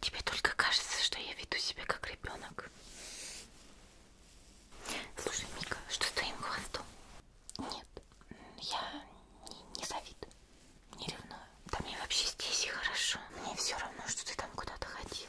Тебе только кажется, что я веду себя как ребенок. Слушай, Мика, что с твоим хвостом? Нет, я не, не завидую, не ревную. Да мне вообще здесь и хорошо. Мне все равно, что ты там куда-то ходила.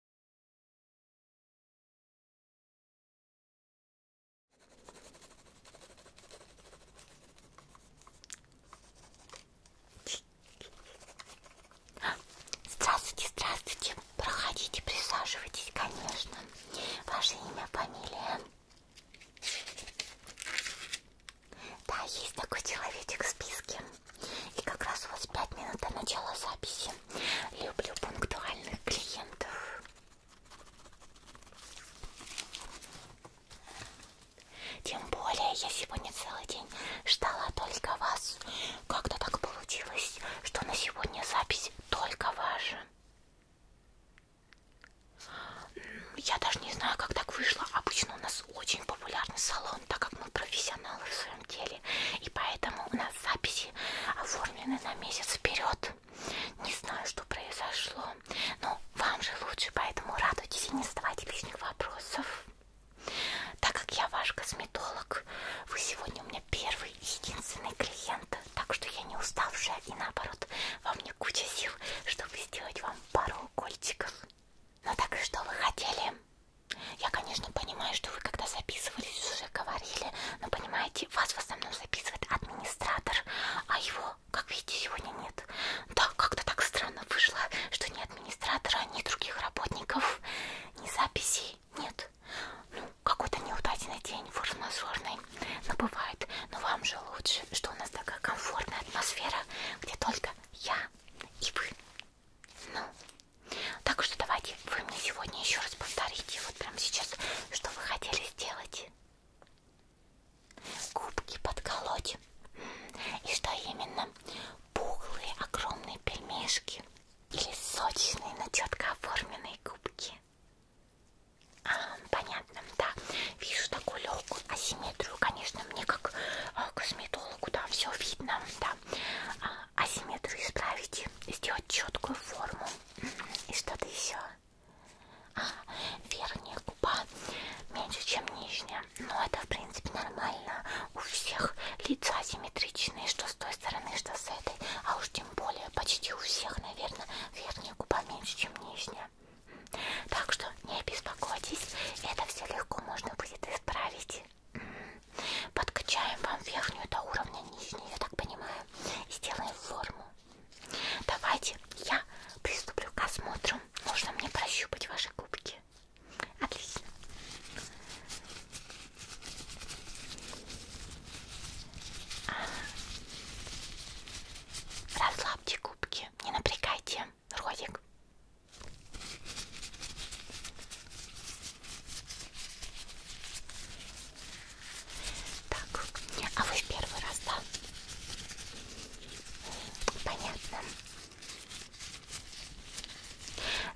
Здравствуйте, здравствуйте. Проходите, присаживайтесь, конечно. Ваше имя, фамилия. Да, есть такой человечек в списке. И как раз у вас пять минут до начала записи. Люблю пунктуальных клиентов. Тем более я сегодня целый день ждала только вас. Как-то так получилось, что на сегодня запись только ваша. Я даже не знаю, как так вышло. Обычно у нас очень популярный салон, так как мы профессионалы в своем самом деле. И поэтому у нас записи оформлены на месяц вперед. Не знаю, что произошло, но вам же лучше, поэтому радуйтесь и не задавайте лишних вопросов. Так как я ваш косметолог, вы сегодня у меня первый и единственный клиент, так что я не уставшая и наоборот, во мне куча сил, чтобы сделать вам пару укольчиков. Ну так и что вы хотели? Я, конечно, понимаю, что вы когда записывались уже говорили, но понимаете, вас в основном записывает администратор, а его, как видите, сегодня нет. Да, как-то так странно вышло, что ни администратора, ни других работников, ни записей нет. Ну, какой-то неудачный день, форс-мажорный, но бывает. Но вам же лучше, что у нас такая комфортная атмосфера, где только я и вы. Ну, так что давайте вы мне сегодня еще раз повторите, вот прямо сейчас, что вы хотели сделать. Губки подколоть. И что именно? Пухлые, огромные пельмешки или сочные, но четко оформленные губки. А, понятно, да. Вижу такую легкую асимметрию, конечно, мне как а, косметологу, да, все видно, да. А, асимметрию исправить, сделать четкую форму и что-то еще. А, верхняя губа меньше, чем нижняя. Но ну, это, в принципе, нормально. У всех лица асимметричные, что с той стороны, что с этой. А уж тем более почти у всех, наверное, верхняя губа меньше, чем нижняя. Так что не беспокойтесь, это все легко можно будет исправить. Подкачаем вам верхнюю до уровня нижней, я так понимаю, и сделаем форму. Давайте я приступлю к осмотру. Можно мне прощупать ваши губки? Отлично. Расслабьте губки, не напрягайте ротик. Так, а вы в первый раз, да? Понятно.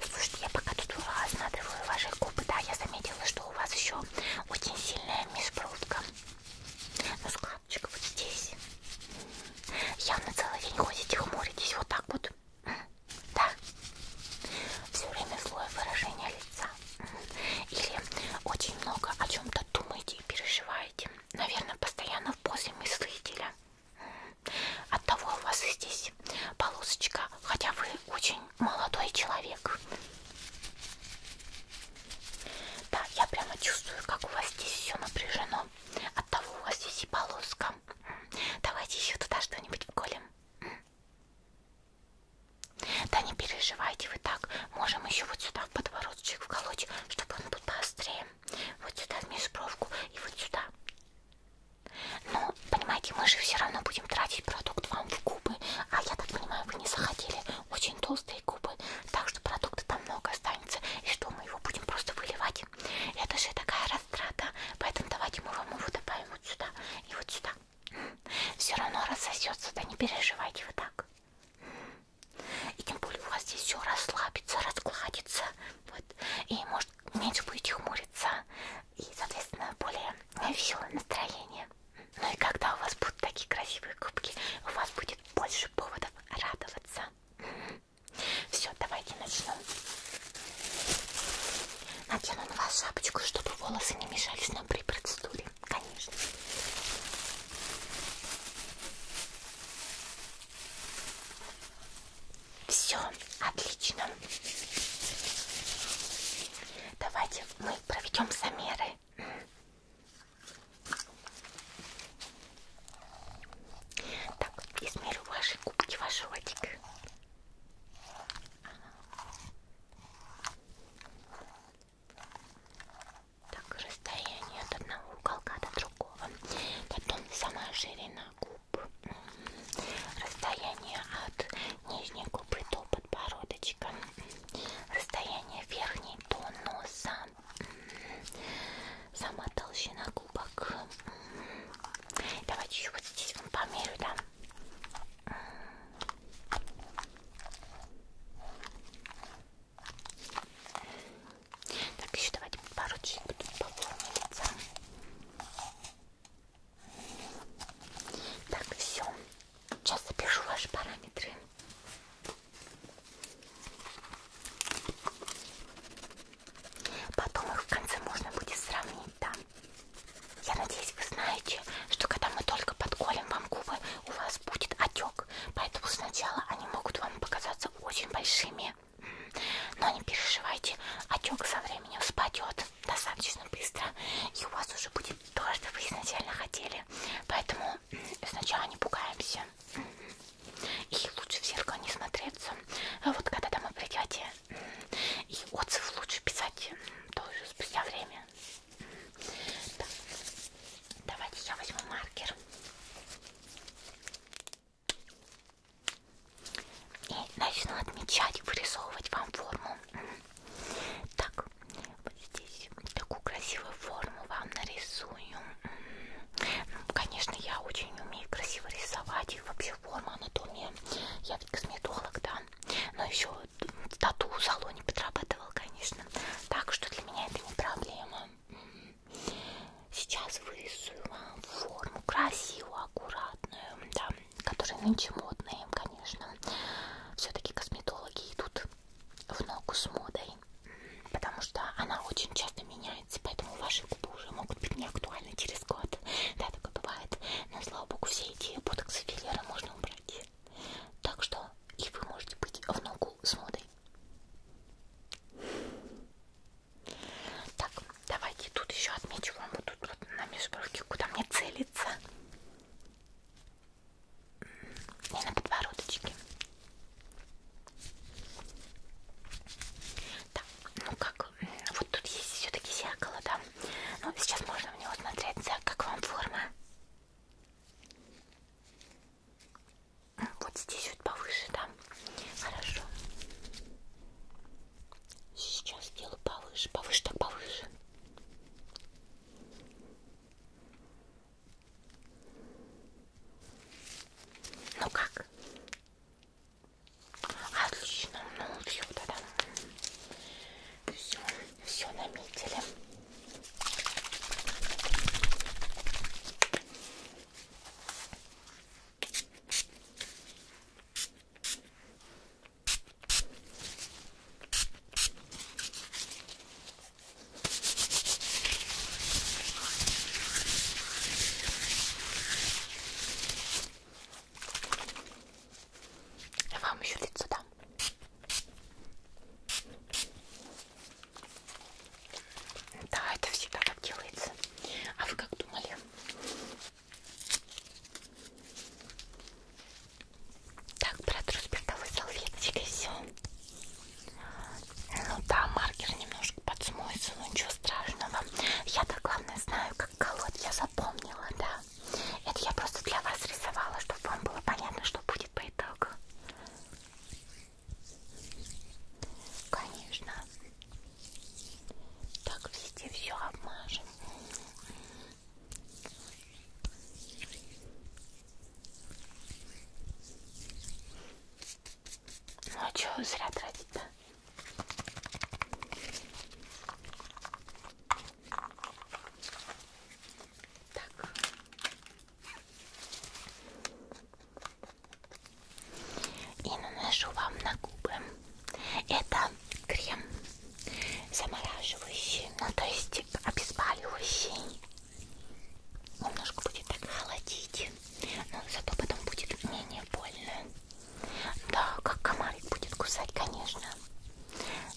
Слушайте, я пока тут осматриваю ваши губы, да, я заметила, что у вас еще очень сильная межбрудка. Ну, складочка вот здесь. Явно целый день ходите, хмуритесь вот так вот. Да. Все время злое выражение лица. Или очень много о чем-то думаете и переживаете. Наверное, постоянно в позе мыслителя. От того у вас и здесь полосочка, хотя вы очень молодой человек. Да, я прямо чувствую, как у вас здесь все напряжено. От того у вас здесь и полоска. Давайте еще туда что-нибудь вколем. Да не переживайте вы так. Можем еще вот сюда в подбородочек вколоть, чтобы он был поострее. Вот сюда в межбровку и вот сюда. Ну, понимаете, мы же все равно будем тратить продукт вам в губы. А я так понимаю, вы не захотели очень толстые губы. Так что продукта там много останется. И что, мы его будем просто выливать? Это же такая растрата. Поэтому давайте мы вам его добавим вот сюда. И вот сюда. Все равно рассосется, да не переживайте вы так. И тем более у вас здесь все расслабится, раскладится. Вот. И может меньше будете хмуриться. И, соответственно, более веселое настроение. Ну и когда у вас будут такие красивые губки, у вас будет больше поводов радоваться. Все, давайте начнем. Надену на вас шапочку, чтобы волосы не мешались нам при процедуре, конечно. Все, отлично. Давайте мы проведем замеры. Так, измерю ваши губки, ваш ротик. Так, расстояние от одного уголка до другого. Потом сама ширина губ. Расстояние от нижней губы до подбородочка. Расстояние верхней до носа. Сама толщина губок. Давайте еще вот здесь вам померю, да? Так, еще давайте пару чуть буду по форме лица. Так, все. Сейчас запишу ваши параметры. Потом их в конце можно будет сравнить, да. Я надеюсь, вы знаете, что когда мы только подколем вам губы, у вас будет отек. Поэтому сначала они могут вам показаться очень большими. М-м. Но не переживайте, отек со временем спадет достаточно быстро. И у вас уже будет то, что вы изначально хотели. Поэтому м-м, сначала не пугаемся. М-м. И лучше в зеркало не смотреться. А вот когда домой придете, и отзыв лучше писать тоже спустя время. Так. Давайте я возьму маркер. И начну отмечать, вырисовывать вам форму. Так, вот здесь такую красивую форму вам нарисую. Ну, конечно, я очень умею красиво рисовать. И вообще форма, анатомия. Я я косметолог, да, но еще в тату-салоне подрабатывал, конечно, так что для меня это не проблема. М-м. Сейчас вырисую вам форму красивую, аккуратную, да, которые нынче модные, конечно. Все-таки косметологи идут в ногу с модой, потому что она очень часто меняется, поэтому важно ваши губы уже могут быть неактуальны через год. Да, такое бывает. Но, слава богу, все эти ботоксы филлеры можно убрать. Так что и вы можете быть в ногу с модой. Так, давайте тут еще отмечу вам вот тут вот на межбровке, куда мне целиться. И на подбородочке. Да, ну как, э, вот тут есть все-таки зеркало, да. Ну, сейчас можно в него смотреться, как вам форма. Вот здесь вот повыше, да. Хорошо. Сейчас делаю повыше, повыше, так повыше. Ну как? Отлично, ну все, тогда. Все, все наметили. Я вам еще лицо дам. Да, это всегда так делается. А вы как думали? Так, протру спиртовой а салфеточкой все. Ну да, маркер немножко чуть-чуть подсмоется, но ну, ничего страшного. Я-то главное знаю, как колоть, я запомнила, да. Это я просто для вас рисовала, чтобы вам было понятно, что будет по итогу. Конечно. Так, везде все обмажем. Ну а чё зря тратить-то? Так. И наношу вам на губы. Это крем замораживающий, ну то есть обезболивающий. Немножко будет так холодить но зато потом будет менее больно. Да, как комарик будет кусать, конечно.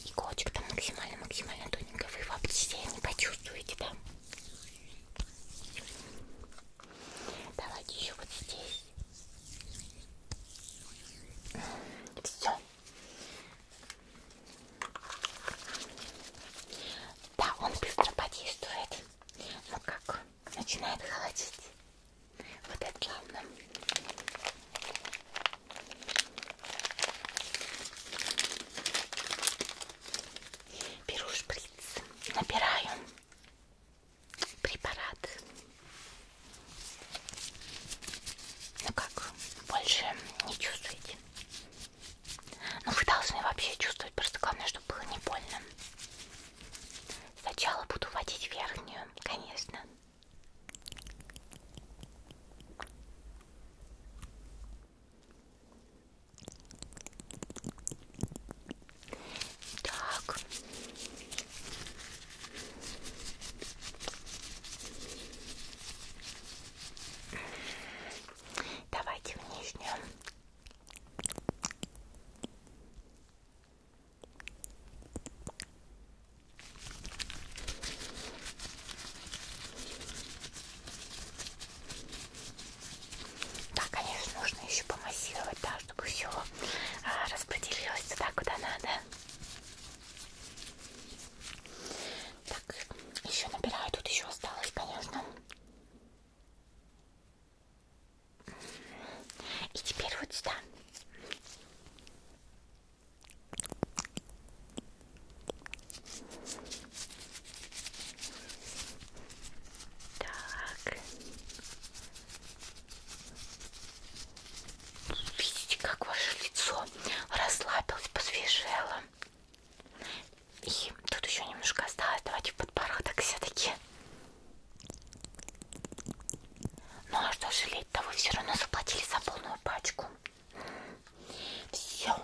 Иголочка там максимально-максимально тоненькая, вы вообще не почувствуете, да? Давайте еще вот здесь. Все. Да, он быстро подействует. Но ну как начинает холодить, вот это главное. Беру шприц, набираю препарат. Ну как, больше не чувствуете? Ну вы должны вообще чувствовать, просто главное, чтобы было не больно. Сначала буду водить верхнюю, конечно. Так. Давайте в нижнюю. Да, конечно, нужно еще помассировать, да, чтобы все а, распределилось туда, куда надо. Так, еще набираю, тут еще осталось, конечно. И теперь вот сюда. Так. Видите, как ваше лицо расслабилось, посвежело. И тут еще немножко осталось. Давайте в подбородок все-таки. Ну а что жалеть-то, вы все равно заплатили за полную пачку. Все.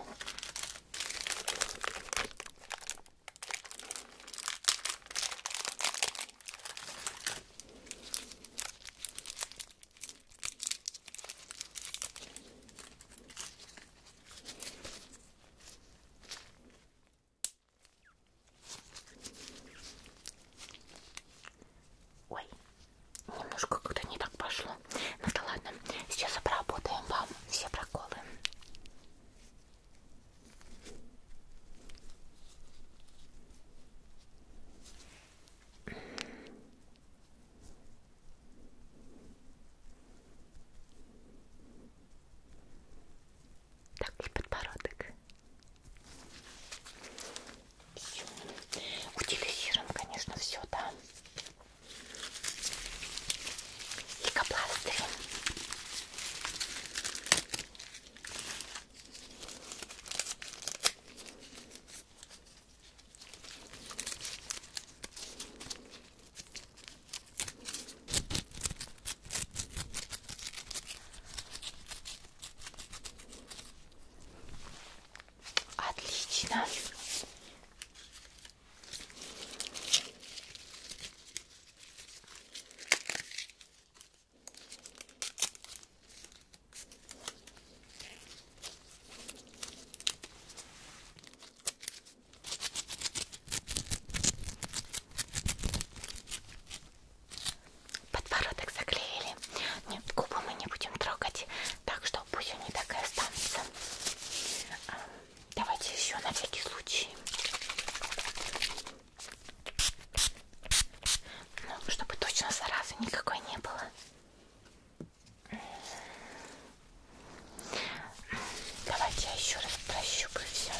Ой, немножко как-то не так пошло. Ну да ладно, сейчас обработаем вам все проколы так и подбородок. Все. Утилизируем, конечно, все, да. Ликопластырь. Отлично. Подбородок заклеили. Нет, губы мы не будем трогать, так что пусть они так и останутся. А, давайте еще на всякий случай. Ну, чтобы точно заразы никакой не было. Давайте я еще раз прощупаю все.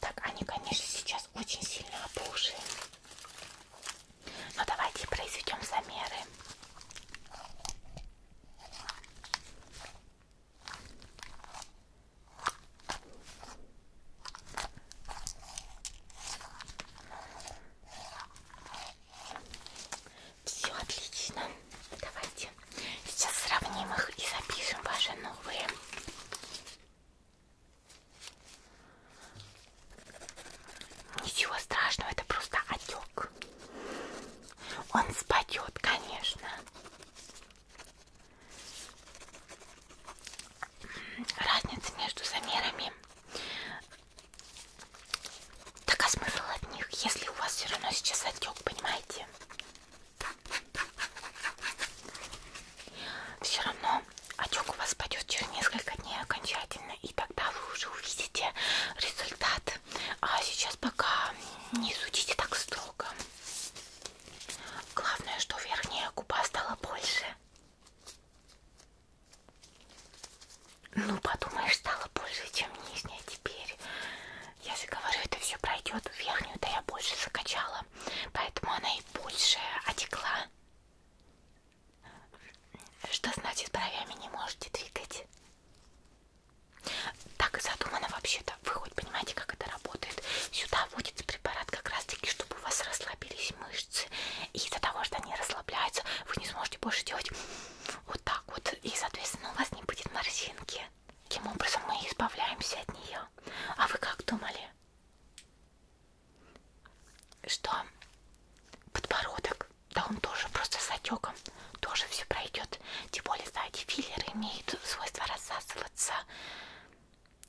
Так, они, конечно, сейчас очень сильно опухшие. Но давайте произведем замеры. Все отлично. Давайте сейчас сравним их и запишем ваши новые. Ничего страшного, это просто отек. Он спадет, конечно. Разница между замерами так а смысл от них, если у вас все равно сейчас отек, понимаете? Все равно отек у вас пойдет через несколько дней окончательно, и тогда вы уже увидите результат. А сейчас пока не судите так строго. Главное, что верхняя губа стала больше. Ну, подумаешь, стало больше, чем нижняя теперь. Я же говорю, это все пройдет в верхнюю-то я больше закачала. Поэтому она и больше отекла. Что значит бровями не можете двигать? Так и задумано вообще-то. Вы хоть понимаете, как это работает? Сюда вводится препарат как раз-таки, чтобы у вас расслабились мышцы. И из-за того, что они расслабляются, вы не сможете больше делать вот так вот вот, и, соответственно, у вас не будет морщинки. Таким образом мы избавляемся от нее. А вы как думали? Что подбородок, да он тоже просто с отеком, тоже все пройдет. Тем более, знаете, филлеры имеют свойство рассасываться.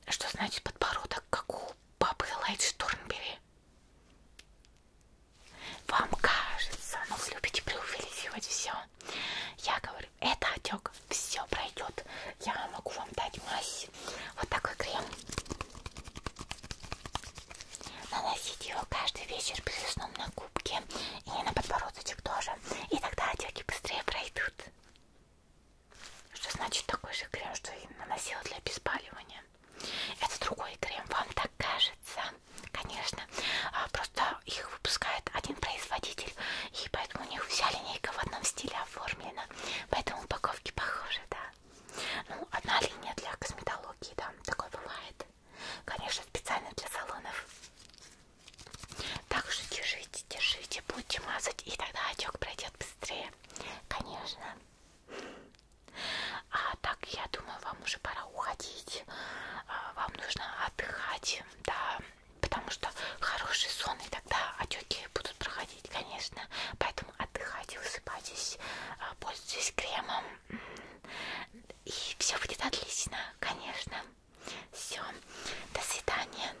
Что значит подбородок, как у папы Лайт Штурмбери? Вам кажется, но ну вы любите преувеличивать все. Я говорю, это отек, все пройдет. Я могу вам дать мазь. Вот такой крем. Наносите его каждый вечер перед сном на губки и на подбородочек тоже. И тогда отеки быстрее пройдут. Что значит такой же крем, что и наносила для обеспаливания? Это другой крем, вам так кажется, конечно. А, просто их выпускает один производитель, и поэтому у них вся линейка в одном стиле оформлена. Поэтому упаковки похожи, да. Ну, одна линия для косметологии, да, такое бывает. Конечно, специально для салонов. Также держите, держите, будете мазать, и тогда отек пройдет быстрее. Конечно. А так, я думаю, вам уже пора уходить. А, вам нужно отдыхать, да, потому что хороший сон, и тогда отеки будут проходить, конечно. Поэтому отдыхайте, высыпайтесь, а, пользуйтесь кремом. И все будет отлично, конечно. Все, до свидания.